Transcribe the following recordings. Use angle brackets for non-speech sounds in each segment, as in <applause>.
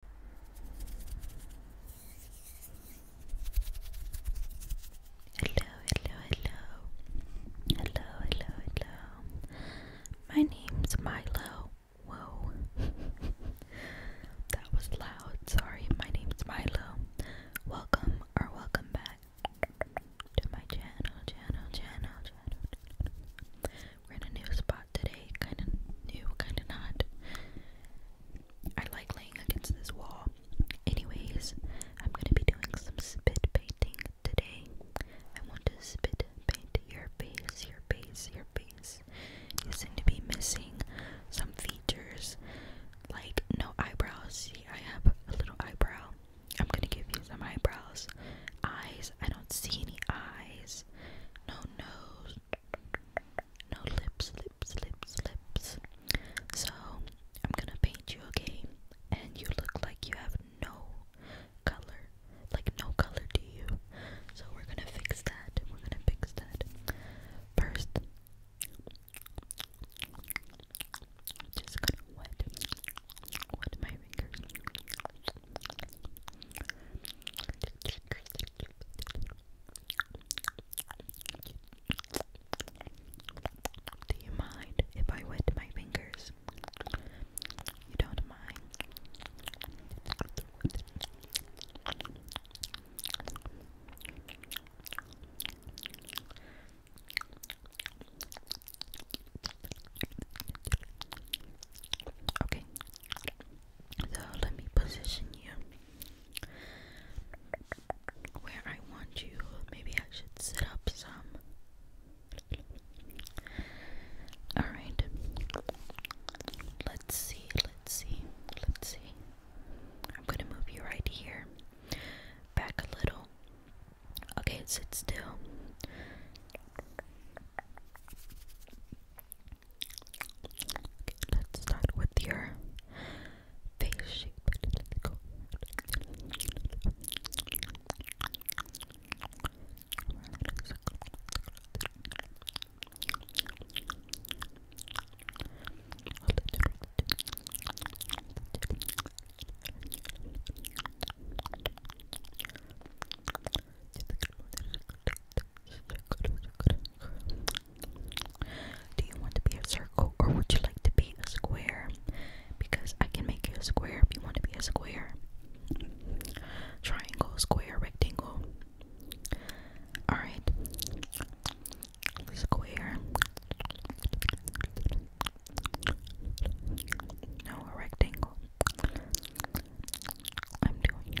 hello, hello, hello, hello, hello. My name's Milo. Whoa, <laughs> that was loud. Sorry, my name's Milo. Welcome or welcome back to my channel, channel, channel, channel. We're in a new spot today, kind of new, kind of not. I like laying against this wall. Anyways, I'm gonna be doing some spit painting today. I want to spit paint your face, your face, your face. You seem to be missing some features, like no eyebrows. See, I have a little eyebrow. I'm gonna give you some eyebrows. Eyes, I don't see any eyes. No nose no lips, lips, lips, lips. So I'm gonna paint you, again, And you look like you have no color, like no color to you. So we're gonna fix that. We're gonna fix that. First, just gonna wet, wet my fingers. Do you mind if I wet my fingers? You don't mind. Okay. So let me position you where I want you. Maybe I should sit up some. Alright. Let's see, let's see, let's see. I'm gonna move you right here. Back a little. Okay, sit still. Let's start with your face shape. Do you want to be a circle or would you like to be a square? Because I can make you a square if you want to be a square. Triangle, square, rectangle. Alright. Square. No, a rectangle. I'm doing a rectangle.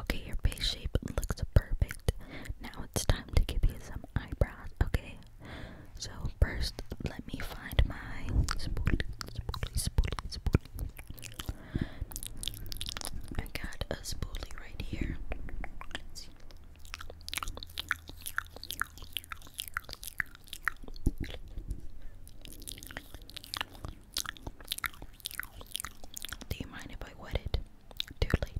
Okay, your face shape looks perfect. Now it's time to give you some eyebrows, okay? So first let me find my spoolie, spoolie, spoolie, spoolie. I got a spoolie right here. Let's see. Do you mind if I wet it? Too late.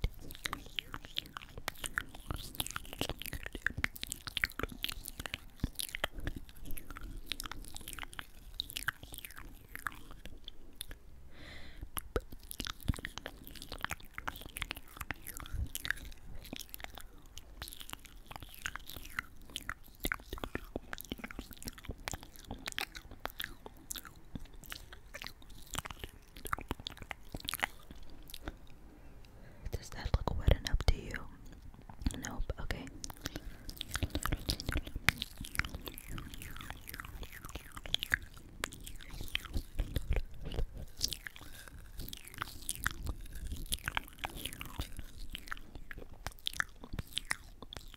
Does that look wet enough to you? Nope, okay.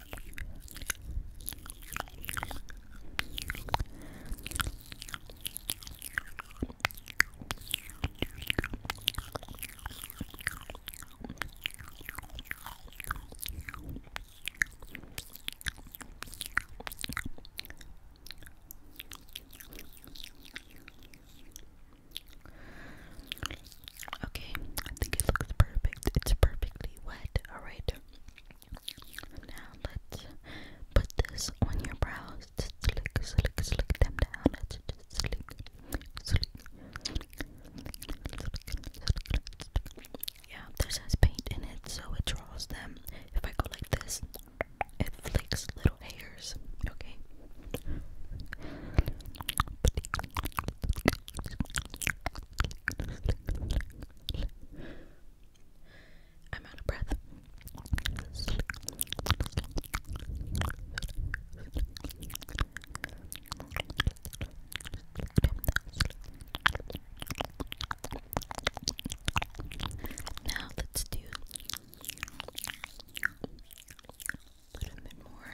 Okay, I think it looks perfect. It's perfectly wet. All right. Now let's put this on your brows. Slick, slick, slick them down. Let's just slick, slick, Yeah, this has paint in it, so it draws them. If I go like this, it flicks little hairs. Okay. I'm out of breath. Now let's do a little bit more.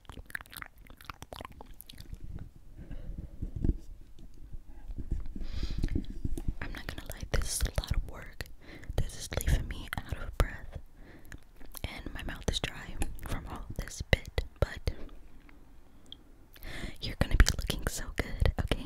I'm not gonna lie, this is a lot of work. This is leaving me out of breath, and my mouth is dry from all this bit, but you're gonna be looking so good, okay?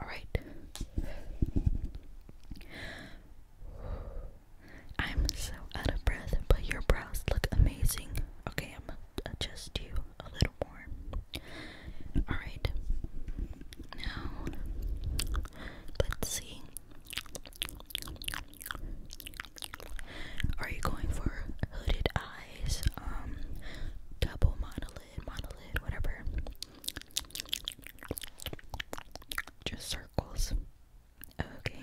All right. I'm so out of breath, but your brows look amazing. Okay, I'm gonna adjust you a little more. All right. Now, let's see. Are you going for hooded eyes, um, double monolid, monolid, whatever? Just circles. Okay.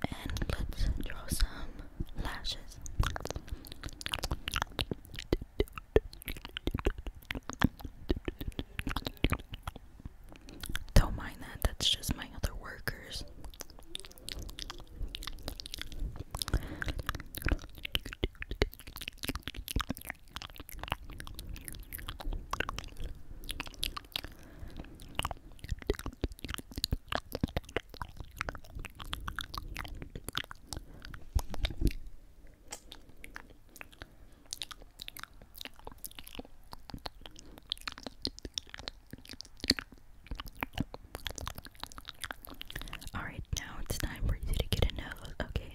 And let's draw some lashes. Don't mind that, that's just my other workers. Alright, now it's time for you to get a nose, okay?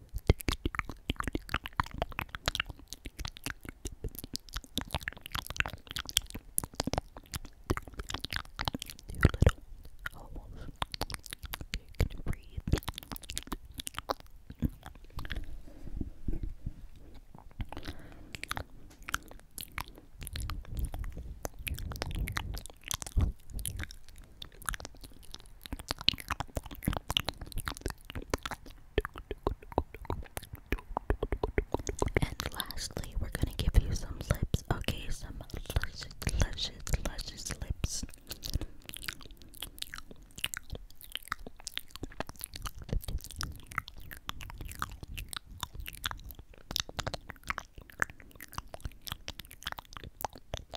Two little holes. Can you breathe? And lastly, we're gonna give you some lips, okay? Some luscious, luscious, luscious lips.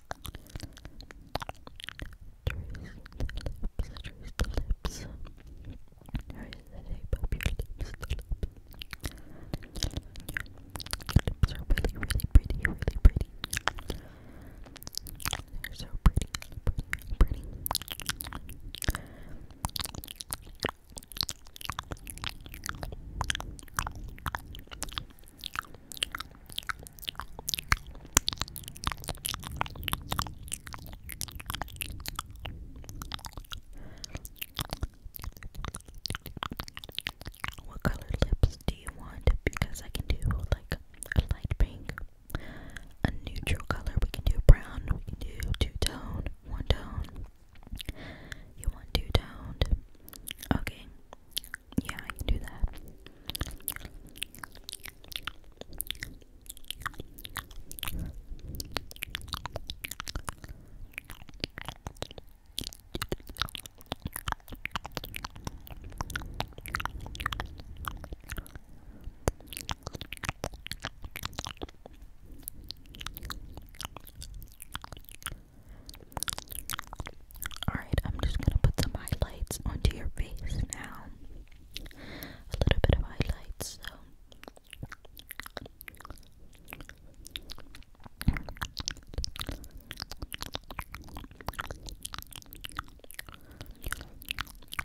Trace the lips, trace the lips. Trace the shape of your lips, Your lips are really, really pretty, really pretty. They're so pretty, pretty, what color lips do you want? Because I can do like a light pink, a neutral color. We can do brown. We can do two tone, one tone. You want two toned? Okay. Yeah, I can do that. Alright, I'm just gonna put some highlights onto your face now. A little bit of highlights, so.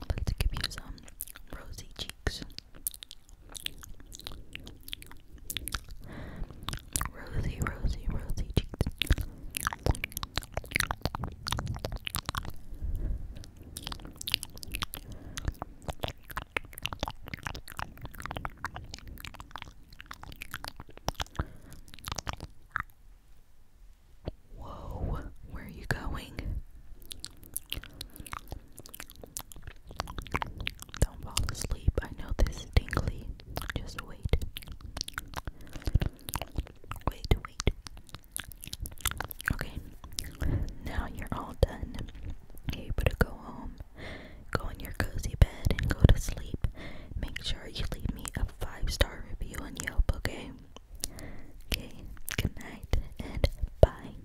Let's give you some rosy cheeks. Rosy, rosy, rosy cheeks. Whoa, where are you going? Don't fall asleep. I know this is Just wait. Wait, wait. Okay, now you're all done. You're able to go home, go in your cozy bed, and go to sleep. Make sure you leave me a five star review on Yelp, okay? Okay, good night and bye.